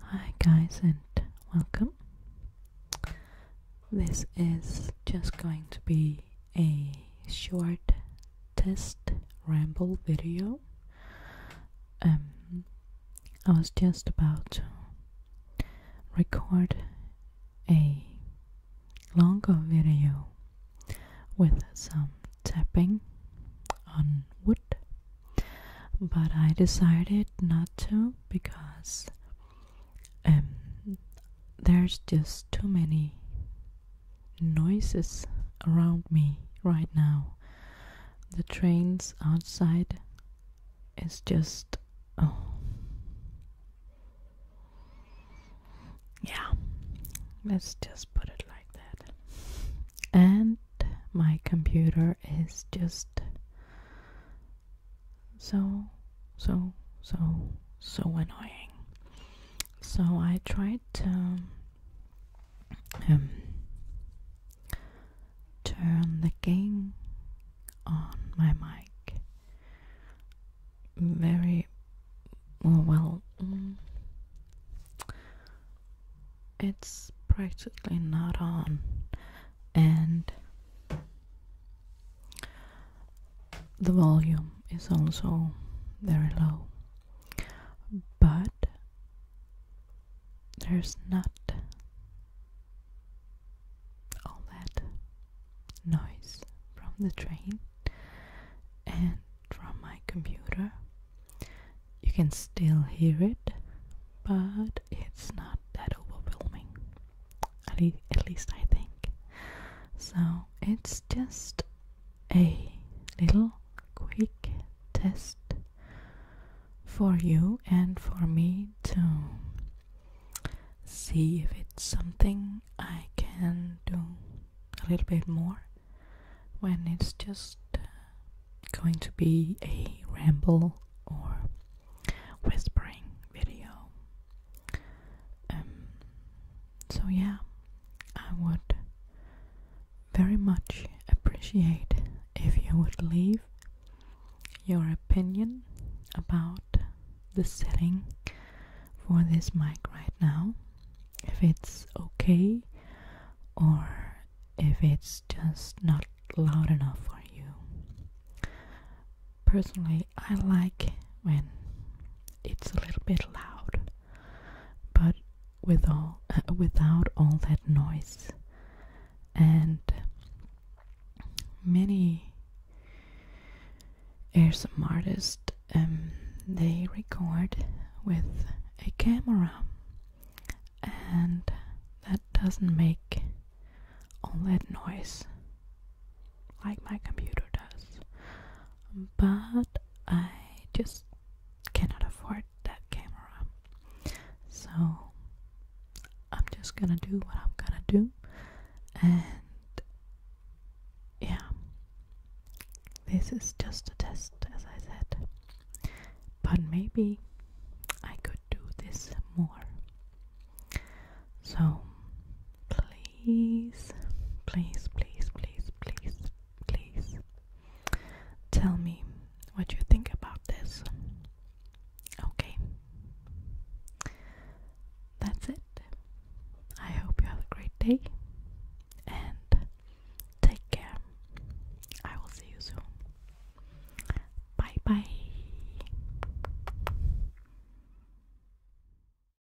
Hi, guys, and welcome. This is just going to be a short test ramble video. Um, I was just about to record a longer video with some tapping on wood, but I decided not to because um, there's just too many noises around me right now. The trains outside is just oh yeah, let's just put it like that. And my computer is just so, so, so, so annoying. So I tried to um, turn the game on my mic very oh, well, mm. it's practically not on and the volume is also very low but there's not all that noise from the train and from my computer. You can still hear it, but it's not that overwhelming. At, least I think. So it's just a little quick test for you and for me too. See if it's something I can do a little bit more when it's just uh, going to be a ramble or whispering video. Um, so, yeah, I would very much appreciate if you would leave your opinion about the setting for this mic right now. If it's okay or if it's just not loud enough for you. Personally, I like when it's a little bit loud, but with all, uh, without all that noise. And many ASMR artists um, they record with a camera, and that doesn't make all that noise like my computer does. But I just cannot afford that camera. So I'm just gonna do what I'm gonna do, and yeah, this is just a test, as I said. But maybe I could do this more. So please, please, please, please, please please tell me what you think about this. Okay. That's it. I hope you have a great day and take care. I will see you soon. Bye bye.